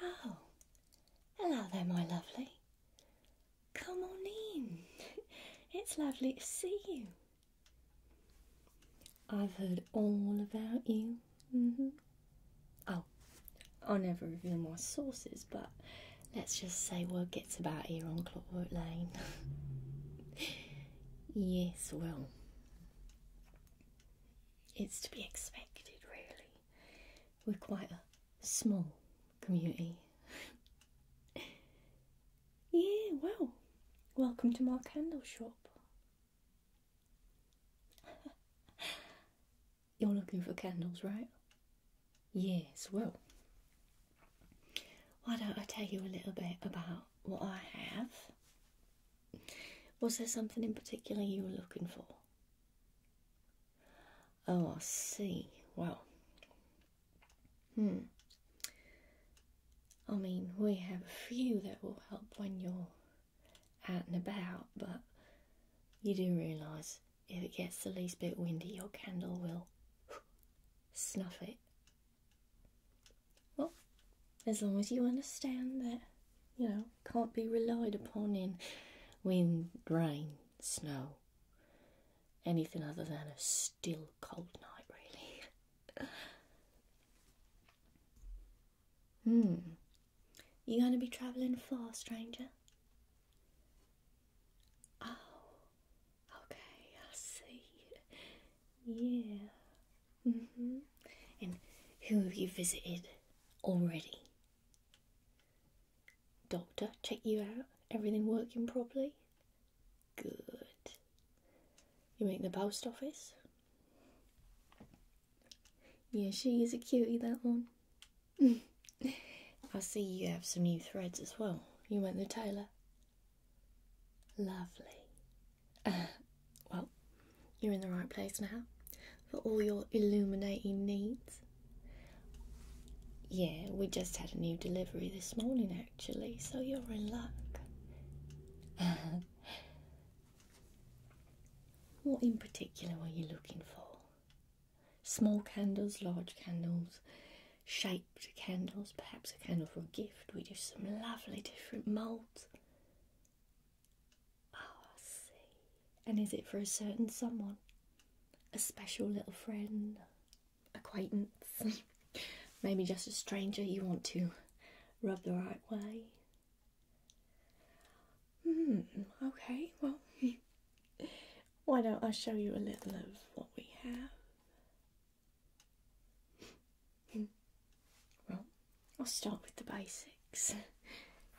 Oh, hello there, my lovely. Come on in. It's lovely to see you. I've heard all about you. Mm-hmm. Oh, I'll never reveal my sources, but let's just say word gets about here on Clockwork Lane. yes, well, it's to be expected, really. We're quite a small community. yeah, well, welcome to my candle shop. You're looking for candles, right? Yes, well, why don't I tell you a little bit about what I have? Was there something in particular you were looking for? Oh, I see. Well, hmm. I mean, we have a few that will help when you're out and about, but you do realise if it gets the least bit windy, your candle will snuff it. Well, as long as you understand that, you know, can't be relied upon in wind, rain, snow, anything other than a still cold night, really. Hmm. You gonna be travelling far, stranger? Oh, okay, I see. Yeah. Mhm. and who have you visited already? Doctor, check you out. Everything working properly? Good. You make the post office? Yeah, she is a cutie, that one. I see you have some new threads as well. You went the tailor. Lovely. well, you're in the right place now for all your illuminating needs. Yeah, we just had a new delivery this morning actually, so you're in luck. What in particular were you looking for? Small candles, large candles, shaped candles, perhaps a candle for a gift. We do some lovely different moulds. Oh, ah, I see. And is it for a certain someone? A special little friend? Acquaintance? Maybe just a stranger you want to rub the right way? Hmm, okay, well, why don't I show you a little of what we have? Hmm, well, I'll start with the basics.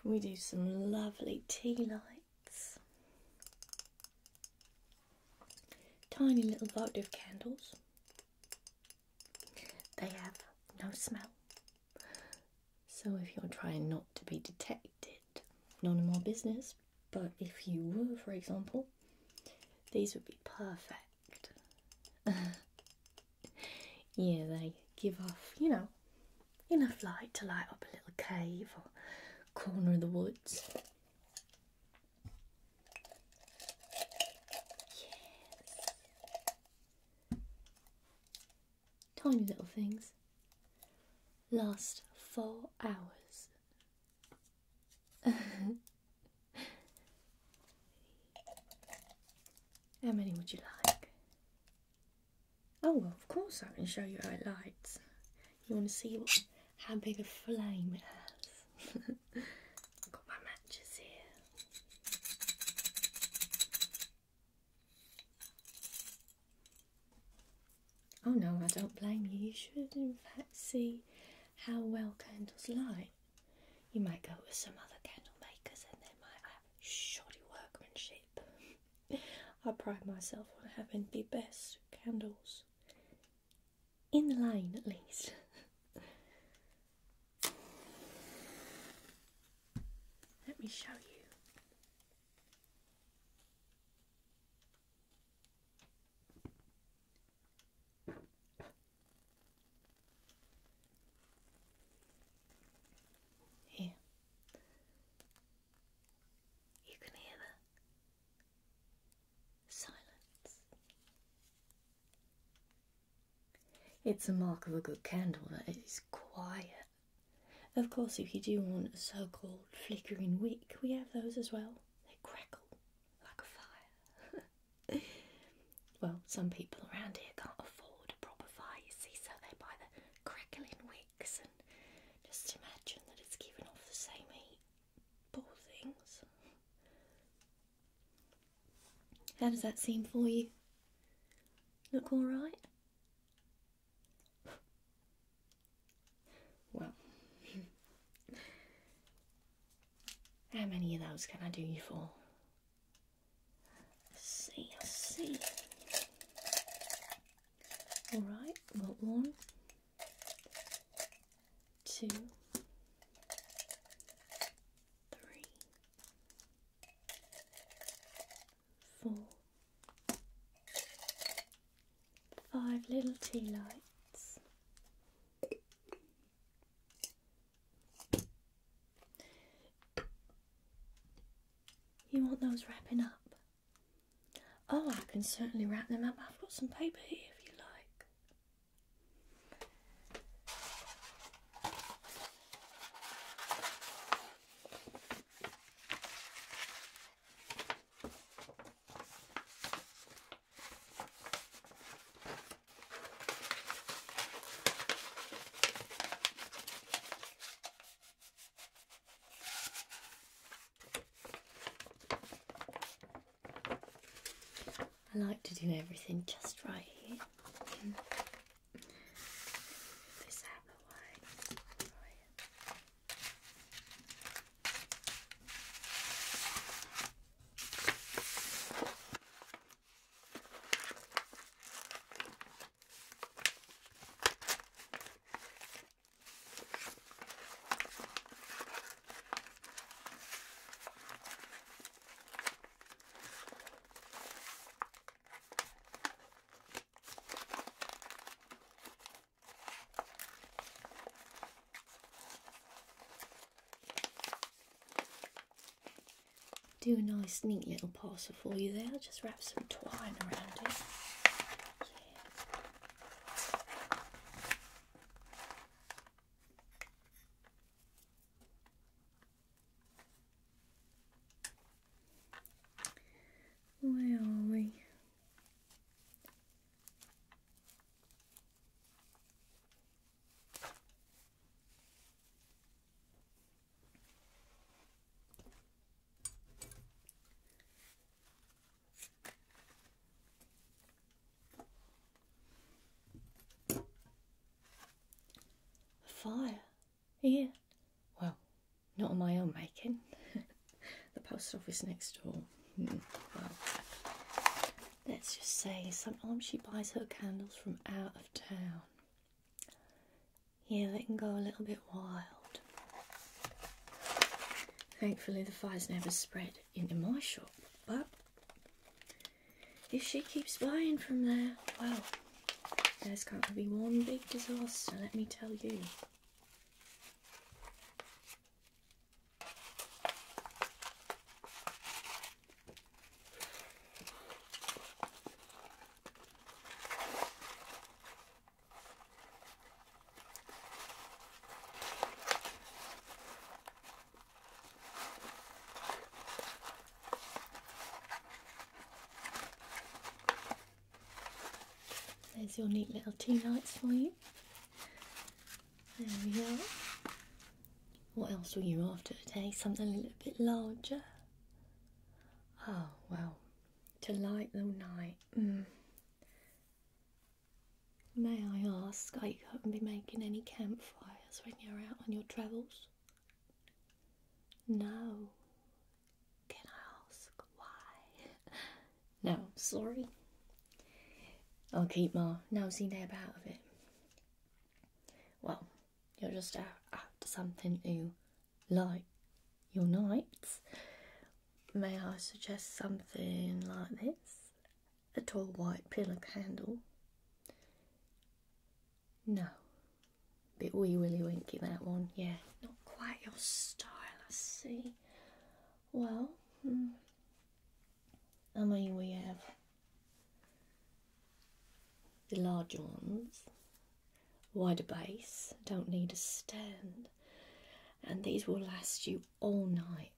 We do some lovely tea lights, tiny little votive candles. They have no smell, so if you're trying not to be detected, none of my business. But if you were, for example, these would be perfect. yeah, they give off, you know, enough light to light up a little cave or corner of the woods. Yes tiny little things, last four hours. how many would you like? Oh, well, of course I can show you how it lights. You want to see what, how big a flame it has. I've got my matches here. Oh no, I don't blame you. You should, in fact, see how well candles light. You might go with some other candle makers and they might have shoddy workmanship. I pride myself on having the best candles. In the line, at least. Let me show you. Here. You can hear the silence. It's a mark of a good candle that it is quiet. Of course, if you do want a so called flickering wick, we have those as well. They crackle like a fire. well, some people around here can't afford a proper fire, you see, so they buy the crackling wicks and just imagine that it's giving off the same heat. Poor things. How does that seem for you? Look all right? Well, how many of those can I do you for? see, see. All right, well, one, two, three, four, five little tea lights. You want those wrapping up? Oh, I can certainly wrap them up. I've got some paper here if you like. I like to do everything just right here. This apple wine for you. Do a nice, neat little parcel for you there. just wrap some twine around it. Where are we? Fire. Yeah. Well, not on my own making. the post office next door. Well, hmm. let's just say sometimes she buys her candles from out of town. Yeah, they can go a little bit wild. Thankfully, the fire's never spread into my shop, but if she keeps buying from there, well, there's going to be one big disaster, let me tell you. There's your neat little tea lights for you. There we are. What else were you after today? Something a little bit larger? Oh, well, to light the night. Mm. May I ask, are you going to be making any campfires when you're out on your travels? No. Can I ask why? no, sorry. I'll keep my nosy nab out of it. Well, you're just after something you like your nights. May I suggest something like this? A tall white pillar candle. No. Bit wee willy winky that one, yeah. Not quite your style, I see. Well, hmm. I mean, we have the larger ones, wider base, don't need a stand, and these will last you all night.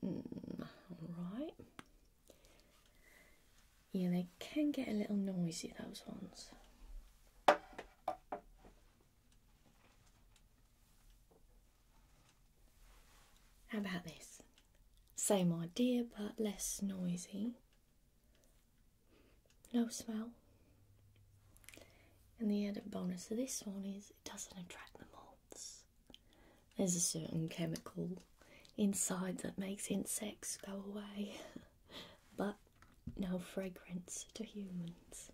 Hmm, alright, yeah, they can get a little noisy, those ones. How about this? Same idea, but less noisy. No smell. And the added bonus of this one is it doesn't attract the moths. There's a certain chemical inside that makes insects go away, but no fragrance to humans.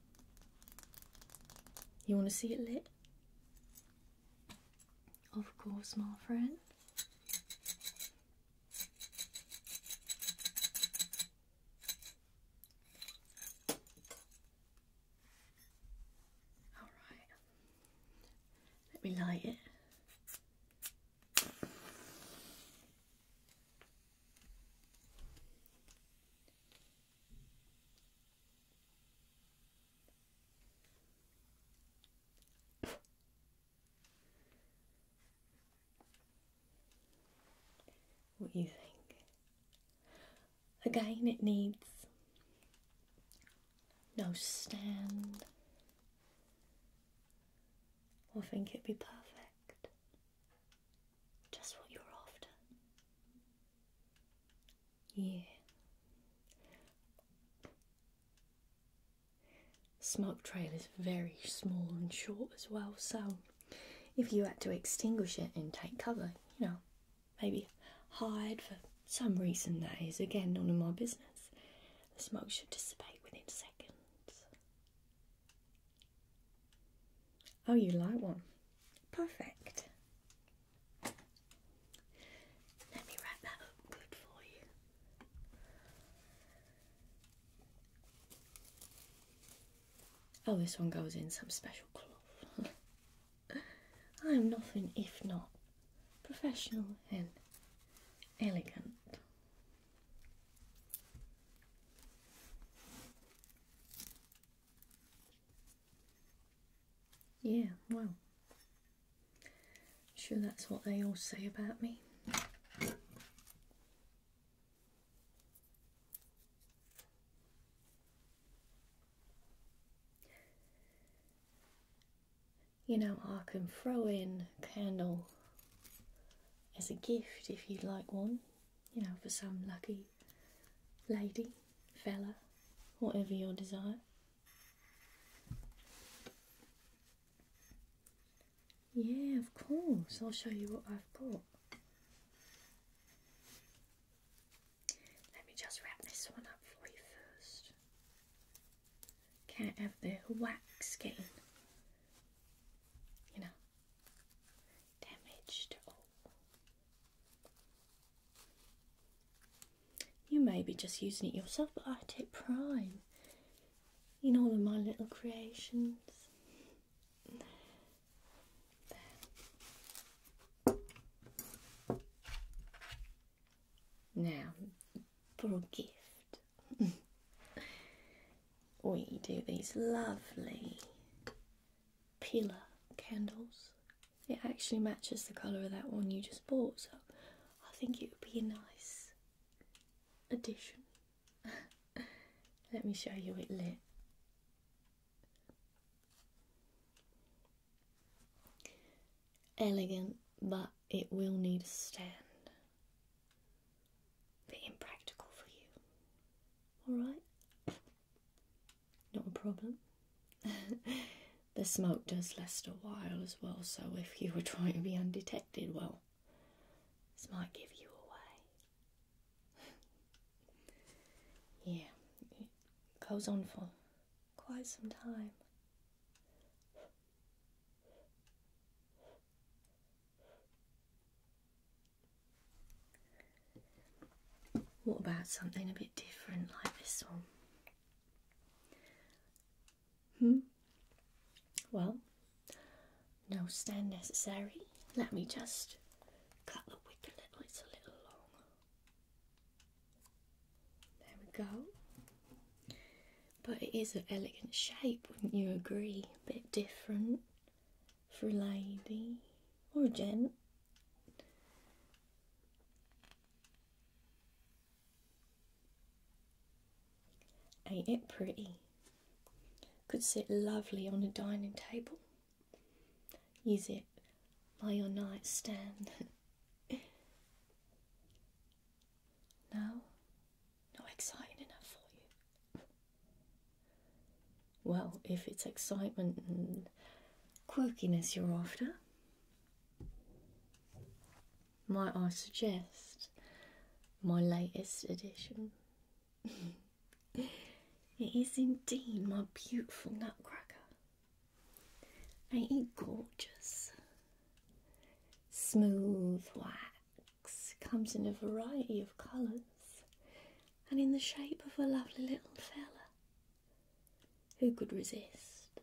You want to see it lit? Of course, my friend. All right. Let me light it. what you think? Again, it needs no stand. I think it'd be perfect. Just what you're after. Yeah. Smoke trail is very small and short as well, so if you had to extinguish it and take cover, you know, maybe hide for some reason that is. Again, none of my business. The smoke should dissipate within seconds. Oh, you like one? Perfect. Let me wrap that up good for you. Oh, this one goes in some special cloth. I am nothing if not professional and elegant. Yeah, well, sure that's what they all say about me you know, I can throw in a candle as a gift if you'd like one, you know, for some lucky lady, fella, whatever your desire. Yeah, of course, I'll show you what I've got. Let me just wrap this one up for you first can't have the wax getting, you know, damaged. You may be just using it yourself, but I take pride in all of my little creations. Now, for a gift, we do these lovely pillar candles. It actually matches the colour of that one you just bought, so I think it would be a nice addition. Let me show you it lit. Elegant, but it will need a stand. Bit impractical for you. Alright? Not a problem. the smoke does last a while as well, so if you were trying to be undetected, well, this might give you away. yeah, it goes on for quite some time. What about something a bit different like this one? Hmm? Well, no stand necessary. Let me just cut the wick a little, it's a little long. There we go. But it is an elegant shape, wouldn't you agree? A bit different for a lady or a gent. Ain't it pretty? Could sit lovely on a dining table. Is it by your nightstand. No? Not exciting enough for you? well, if it's excitement and quirkiness you're after, might I suggest my latest edition? it is indeed my beautiful nutcracker. Ain't you gorgeous? Smooth wax comes in a variety of colours and in the shape of a lovely little fella. Who could resist?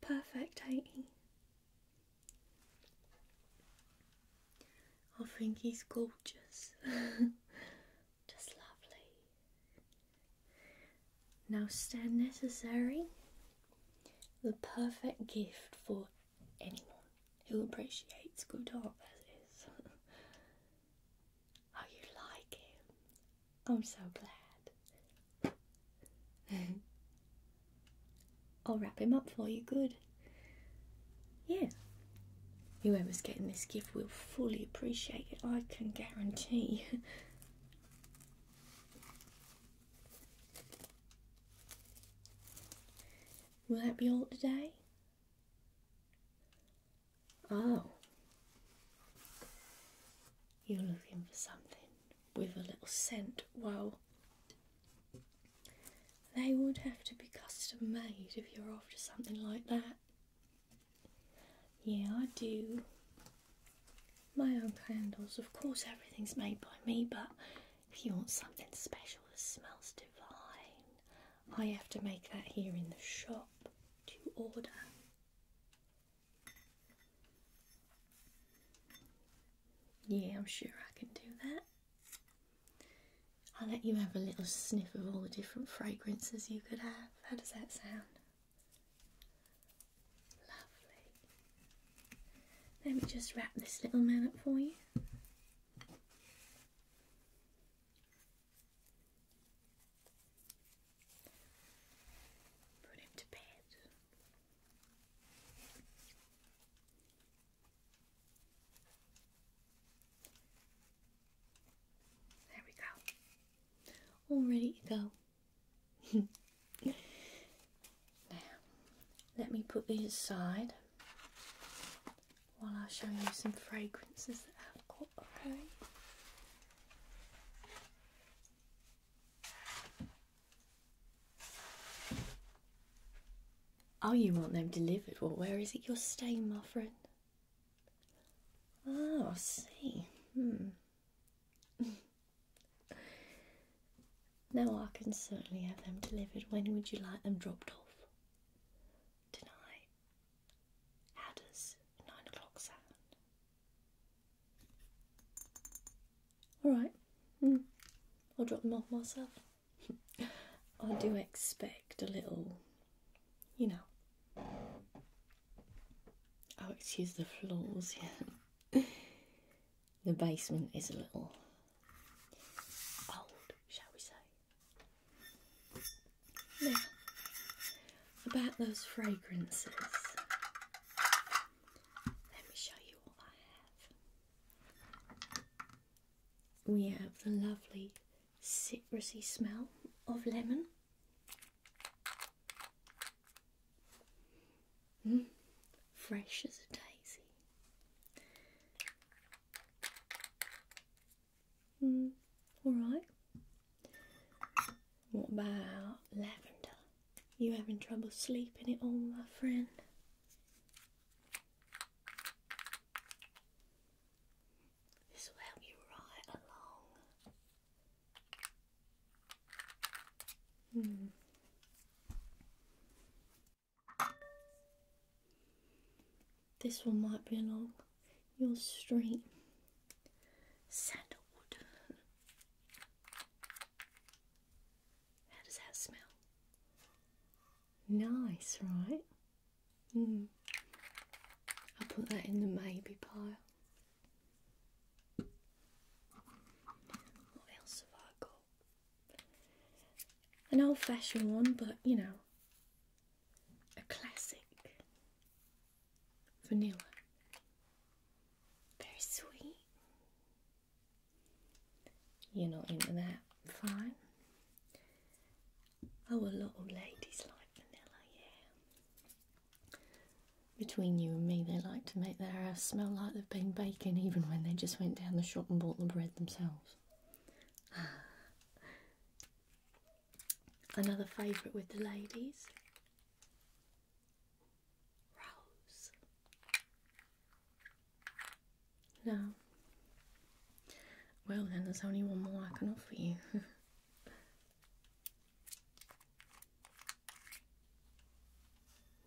Perfect, ain't he? I think he's gorgeous. Just lovely. Now stand necessary, the perfect gift for anyone who appreciates good art as is. oh, you like it? I'm so glad. I'll wrap him up for you good. Yeah. Whoever's getting this gift will fully appreciate it, I can guarantee. will that be all today? Oh. You're looking for something with a little scent. Well, they would have to be custom made if you're after something like that. Yeah, I do my own candles. Of course, everything's made by me, but if you want something special that smells divine, I have to make that here in the shop to order. Yeah, I'm sure I can do that. I'll let you have a little sniff of all the different fragrances you could have. How does that sound? Lovely. Let me just wrap this little man up for you. Put him to bed. There we go. All ready to go. now, let me put these aside while I show you some fragrances that I've got, okay? Oh, you want them delivered? Well, where is it you're staying, my friend? Oh, see. Hmm. now I can certainly have them delivered. When would you like them dropped off? Tonight. How does nine o'clock sound? Alright. Hmm. I'll drop them off myself. I do expect a little, you know, Oh, excuse the floors, here. the basement is a little old, shall we say. about those fragrances. Let me show you what I have. We have the lovely citrusy smell of lemon. Hmm? fresh as a daisy. Mm, all right. What about lavender? You having trouble sleeping at all, my friend? This will help you right along. Hmm. This one might be along your street. Sandalwood. How does that smell? Nice, right? Mm. I'll put that in the maybe pile. What else have I got? An old fashioned one, but you know, a classic. Vanilla. Very sweet. You're not into that. Fine. Oh, a lot of ladies like vanilla, yeah. Between you and me, they like to make their house smell like they've been baking even when they just went down the shop and bought the bread themselves. Another favourite with the ladies. Rose. No. Well, then there's only one more I can offer you.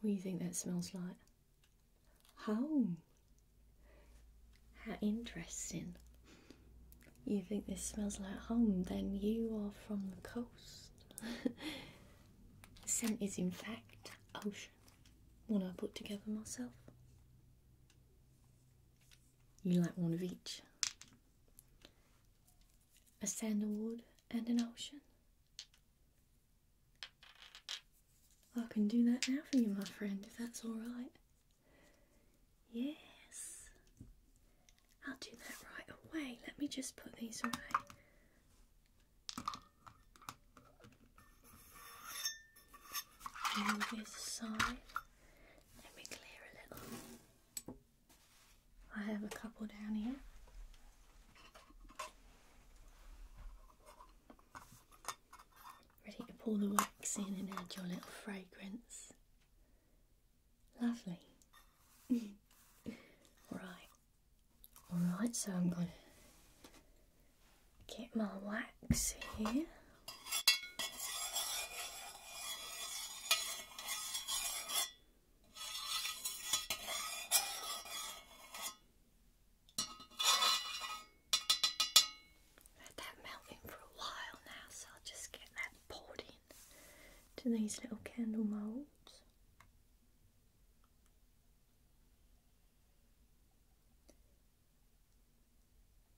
What do you think that smells like? Home. How interesting. You think this smells like home, then you are from the coast. the scent is, in fact, ocean. One I put together myself. You like one of each a sandalwood, and an ocean. I can do that now for you, my friend, if that's alright. Yes, I'll do that right away. Let me just put these away. Move this aside. Let me clear a little. I have a couple down here. Ready to pour the wax in and add your little fragrance. Lovely. right. Alright, so I'm gonna get my wax here. Let that melt in for a while now, so I'll just get that poured in to these little candle molds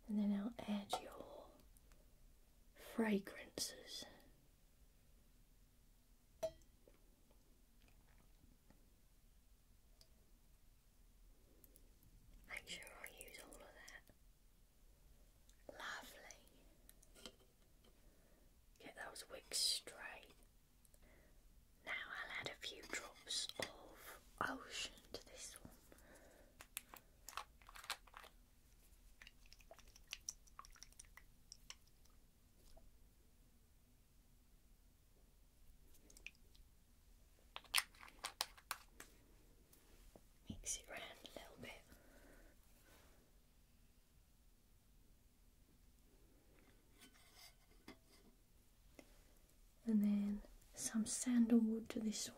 and then I'll add your fragrances. Make sure I use all of that. Lovely. Get those wicks straight. Now I'll add a few drops of ocean to this one. Mix it round a little bit. And then some sandalwood to this one.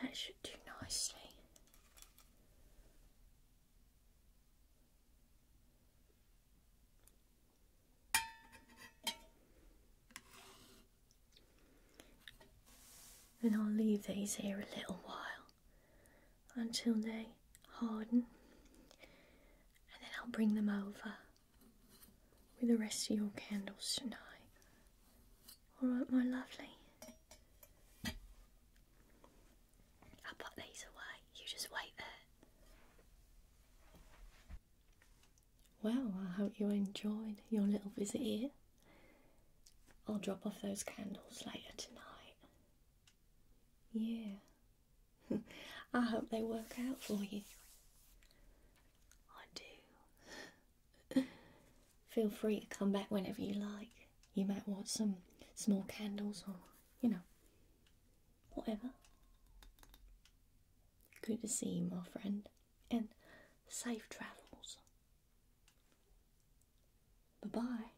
That should do nicely. Then I'll leave these here a little while until they harden and then I'll bring them over with the rest of your candles tonight. All right, my lovely. I'll put these away. You just wait there. Well, I hope you enjoyed your little visit here. I'll drop off those candles later tonight. Yeah. I hope they work out for you. I do. Feel free to come back whenever you like. You might want some small candles or, you know, whatever. Good to see you, my friend, and safe travels. Bye bye.